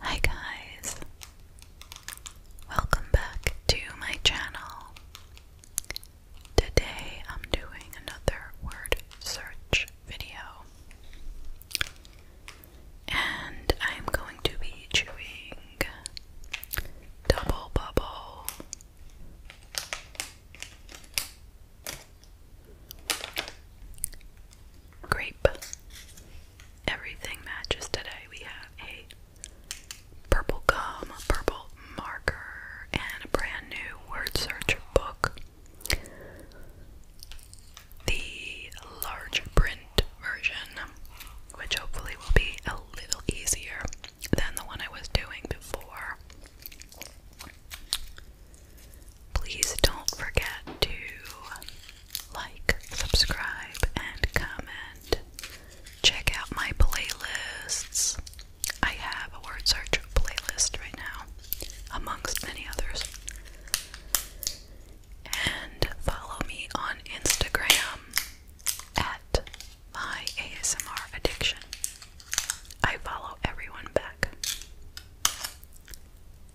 Hi guys! Welcome back to my channel. Today I'm doing another word search video. And I'm going to be chewing Double Bubble. Grape everything matches today. We have a purple gum, a purple marker, and a brand new word search book. The large print version, which hopefully will be a little easier than the one I was doing before. Please don't forget to like, subscribe, and comment. Check out my playlists. I have a word search playlist right now, amongst many others. And follow me on Instagram at my ASMR addiction. I follow everyone back.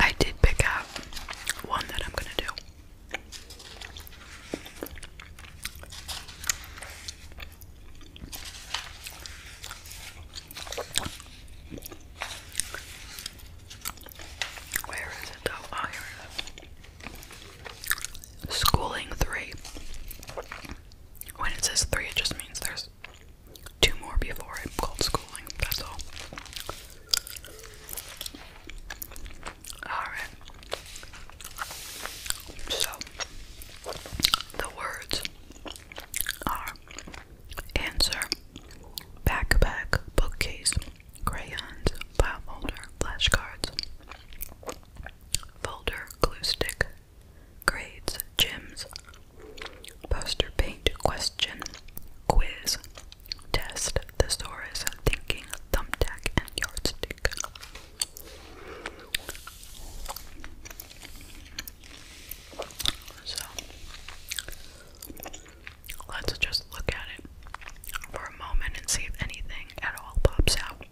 I did pick out one that I'm going to do. Where is it though? Oh, here Schooling three. When it says three, it just means there's two more before it called schooling. That's all. Alright. So, the words are answer, backpack, bookcase, crayons, file folder, flashcards, folder, glue stick, grades, gems, poster paint, question, quiz, test, thesaurus, thinking, thumbtack, and yardstick. Let's just look at it for a moment and see if anything at all pops out.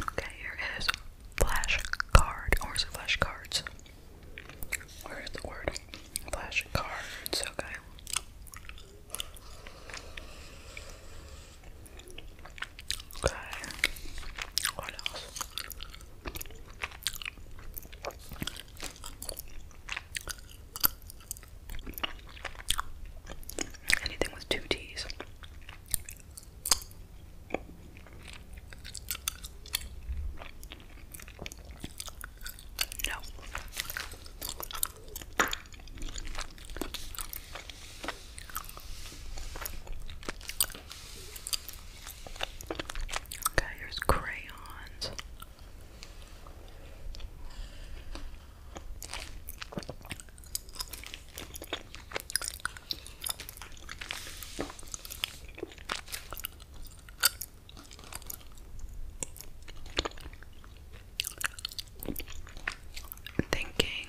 Okay, here is flash card, or is flash cards? Where is the word? Flash cards, okay. Okay. What else? Anything with two T's. No. Okay, here's crayons. thinking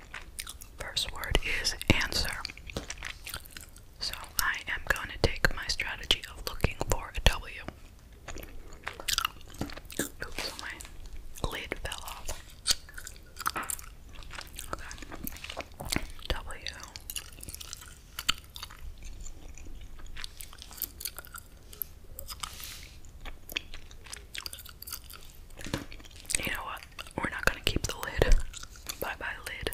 First word is answer. So I am going to take my strategy of looking for a W. Oops, my lid fell off. Okay. W. You know what? We're not gonna keep the lid. Bye bye, lid.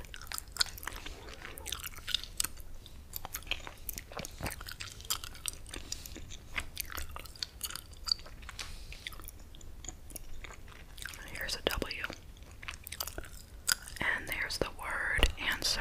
Here's a W. And there's the word answer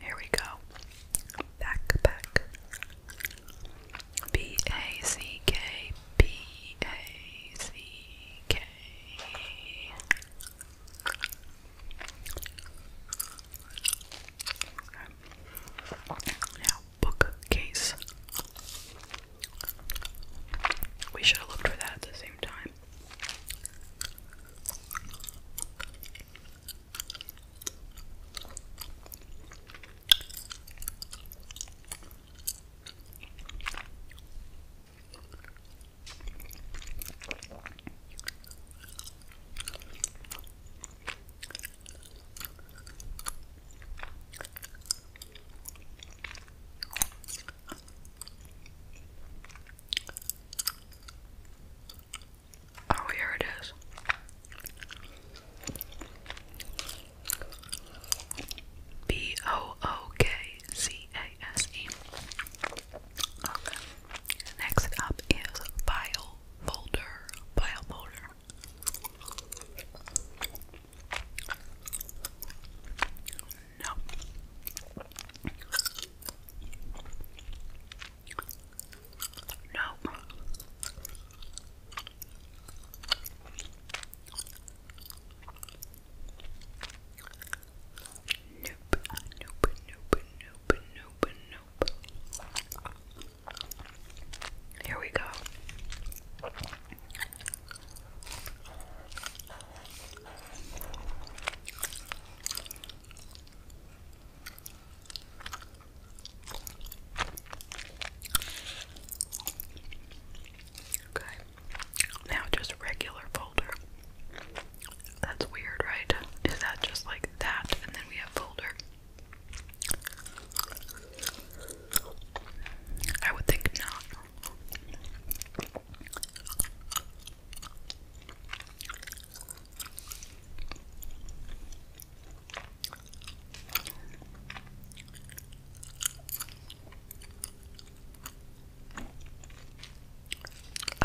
Here we go. Backpack. B A C K B A C K. Now bookcase. We should have looked for that at the same time. Oh, here it is. B O O K C A S E. Okay. Next up is file folder. File folder. No. No. Nope, nope, nope, nope, nope, nope. Here we go. Okay. Now just regular folder. That's weird, right? Is that just like that and then we have folder? I would think not.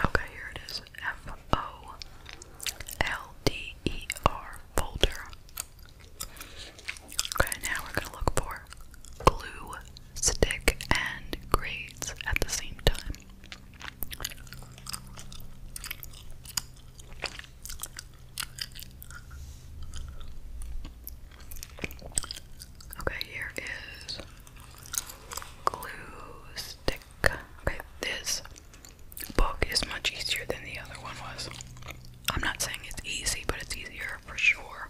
Okay, here it is. F O L D E R folder. Okay, now we're gonna look for glue stick and grades at the same time. Okay, here is glue stick. Okay, this book is much easier than the other one was. I'm not saying it's easy, but it's easier for sure.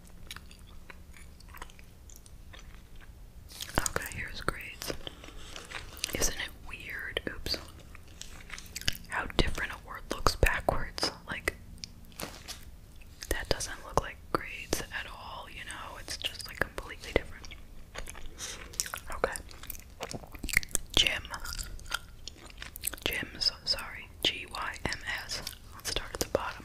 Okay, here's grades. Isn't it weird? Oops. How different a word looks backwards. Like, that doesn't look like grades at all, you know? It's just like completely different. Okay. Gym. Gyms, sorry, G Y M S. Let's start at the bottom.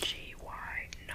G Y no.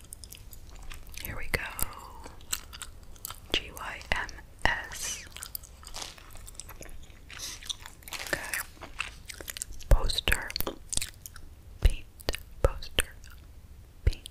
Here we go. GYMS. Okay. Poster. Paint. Poster. Paint.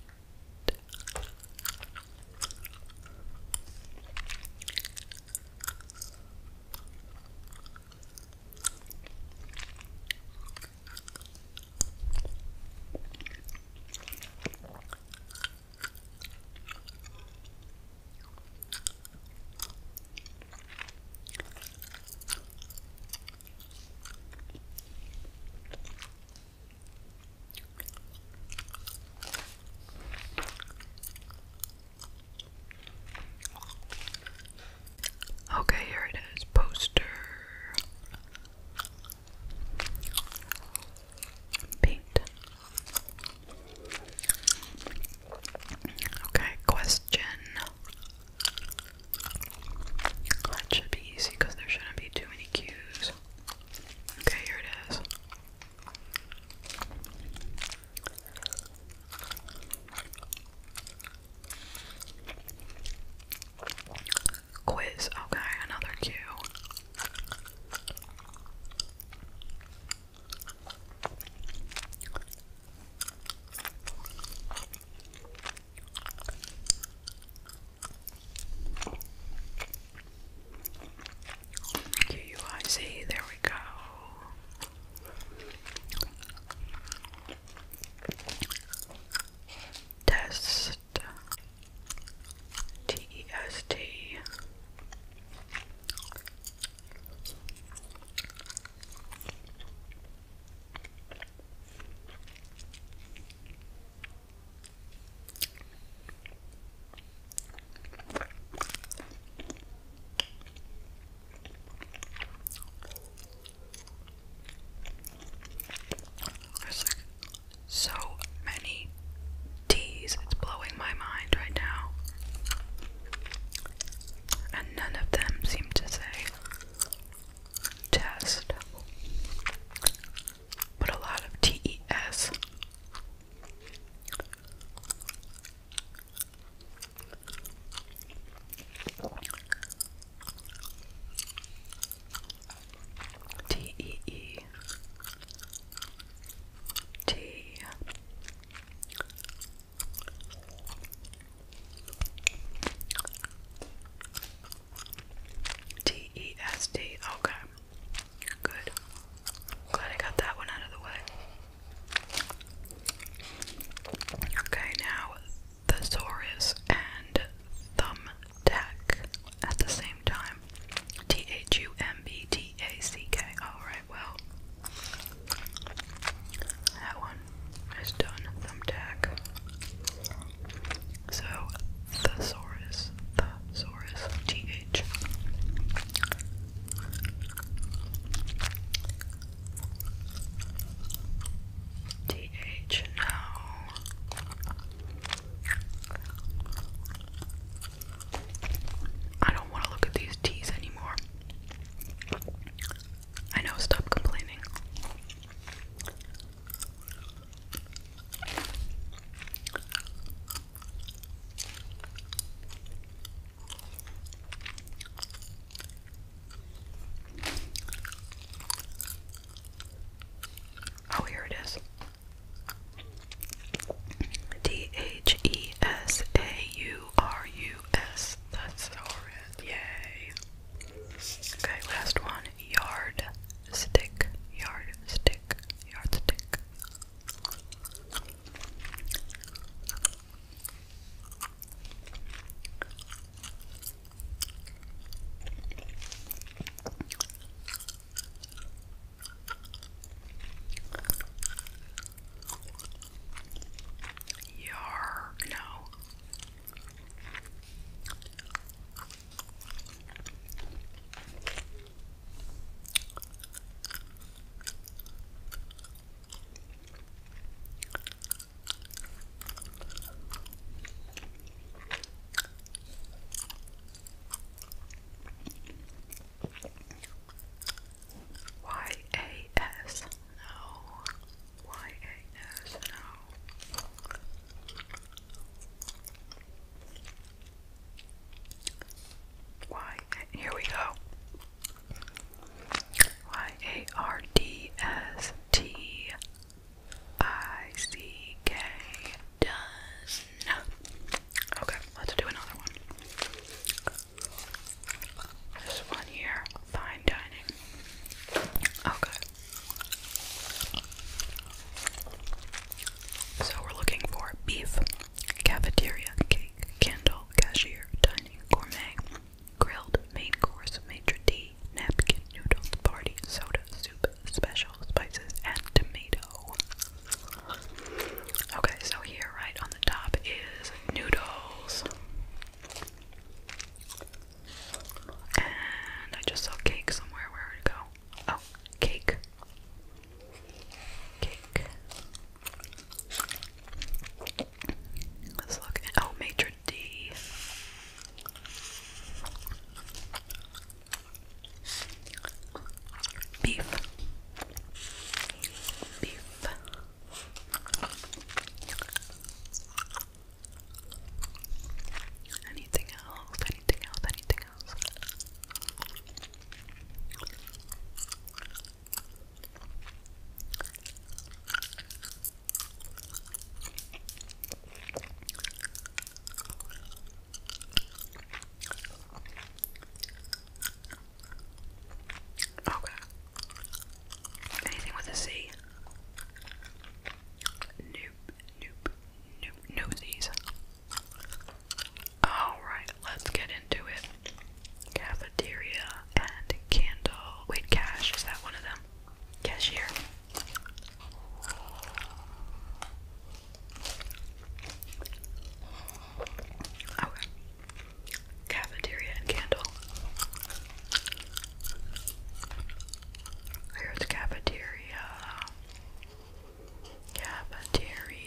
Okay, here it is. Poster. Paint. Okay, question. That should be easy because there shouldn't be too many cues. Okay, here it is. Quiz. Okay, another Q. Q U I Z. There we go test T E S T there's like so many teas. It's blowing my mind right now. And none of them seem to say test. But a lot of TES. T E E T T E S T. Okay. Good. Glad I got that one out of the way. Okay, now thesaurus and thumbtack at the same time. T H U M B T A C K. Alright, well, that one is done. Thumbtack. So, thesaurus, thesaurus, T H. DH, I don't want to look at these T's anymore. I know, stop complaining. Oh, here it is. D H E S A U R U S. That's horrid. Yay. Okay, last one. Yard stick. Yard stick. Yard stick. Yar, no. Y A S no Y A S no Y here we go Y A R D S T I C K does not. Okay, let's do another one. This one here, fine dining. Okay. So we're looking for beef, cafeteria, cake, candle, cashier, dining, gourmet, grilled, main course, maitre d', napkin, noodles, party, soda, soup, special, spices, and tomato. Okay, so here right on the top is noodles. And I just saw cake somewhere. Where did it go? Oh, cake. Cake. Let's look. Oh, maitre letter D. Beef. Beef. Anything else? Anything else? Anything else? Okay. Anything with a C? Nope, nope, nope, no Z's. Alright, let's get into it. Cafeteria and candle. Wait, cash, is that one of them? cashier. Oh, cafeteria and candle. Here's cafeteria. Cafeteria.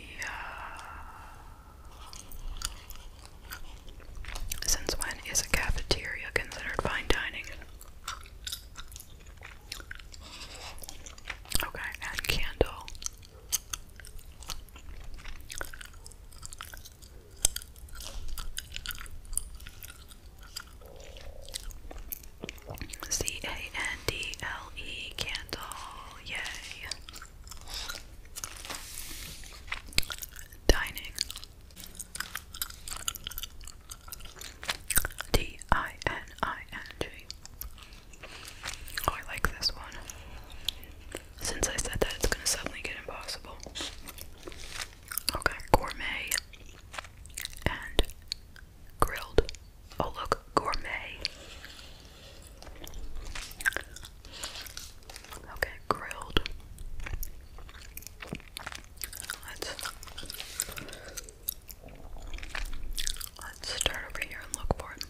Since when is a cafeteria considered fine dining? Okay, and candle. C A N D L E candle, yay. Dining. D I N I N G. Oh, like this one. Since I said that, it's gonna suddenly get impossible. Okay, gourmet and grilled. Oh, look, gourmet. Okay, grilled. Let's let's start over here and look for it.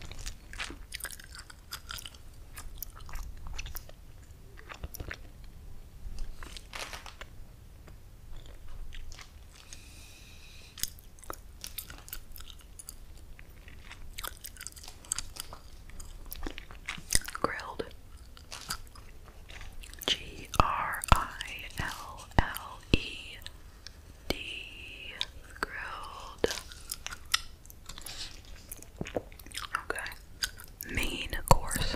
Grilled. G R I L L E D. Grilled. Okay. Main course.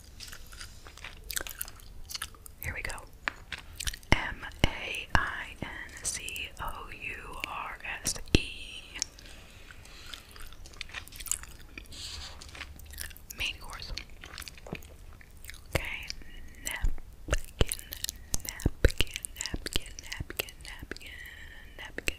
Here we go. M A I N C O U R S E. Main course. Okay, napkin, napkin, napkin, napkin, napkin, napkin.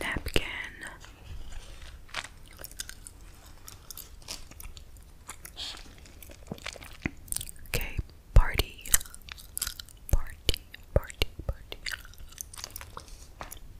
Napkin. Okay, party, party, party, party.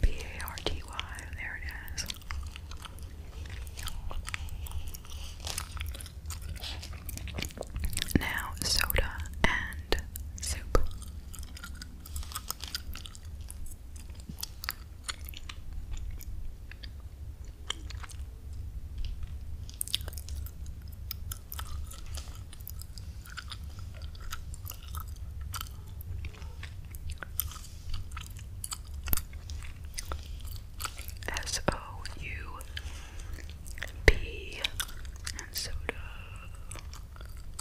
P A R T Y, there it is. Now, soda and and soup. S O U P and soda.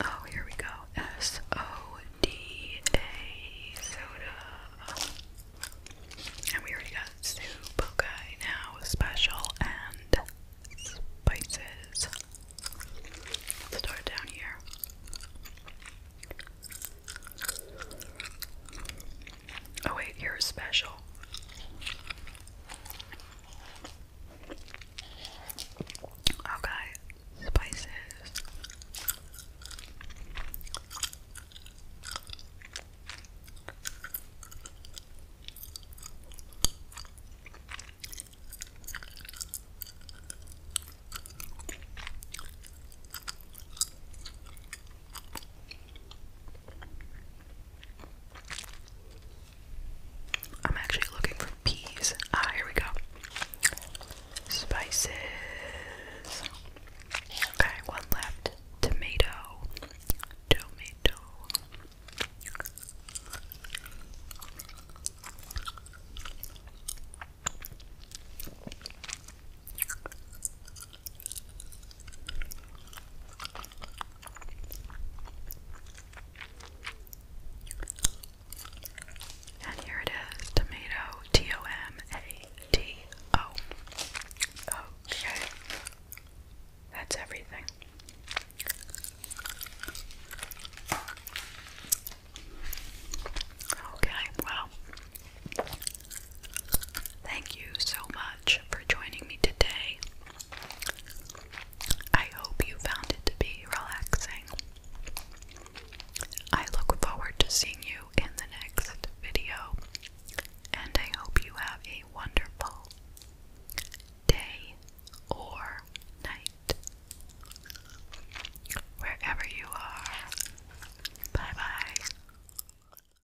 Oh, here we go. S O D A soda. And we already got soup. Okay, now special and spices. Let's start down here. Oh, wait, you're special. Okay, oh, spices. I'm actually looking for peas. Ah, here we go. Spices. Okay, one left. Tomato. Tomato. And here it is, tomato, T O M A T O. Okay. That's everything. Okay, well, Thank you so much for joining me today. I hope you found it to be relaxing. I look forward to seeing you in the next video, and I hope you have a wonderful day or night. Wherever you are, bye bye.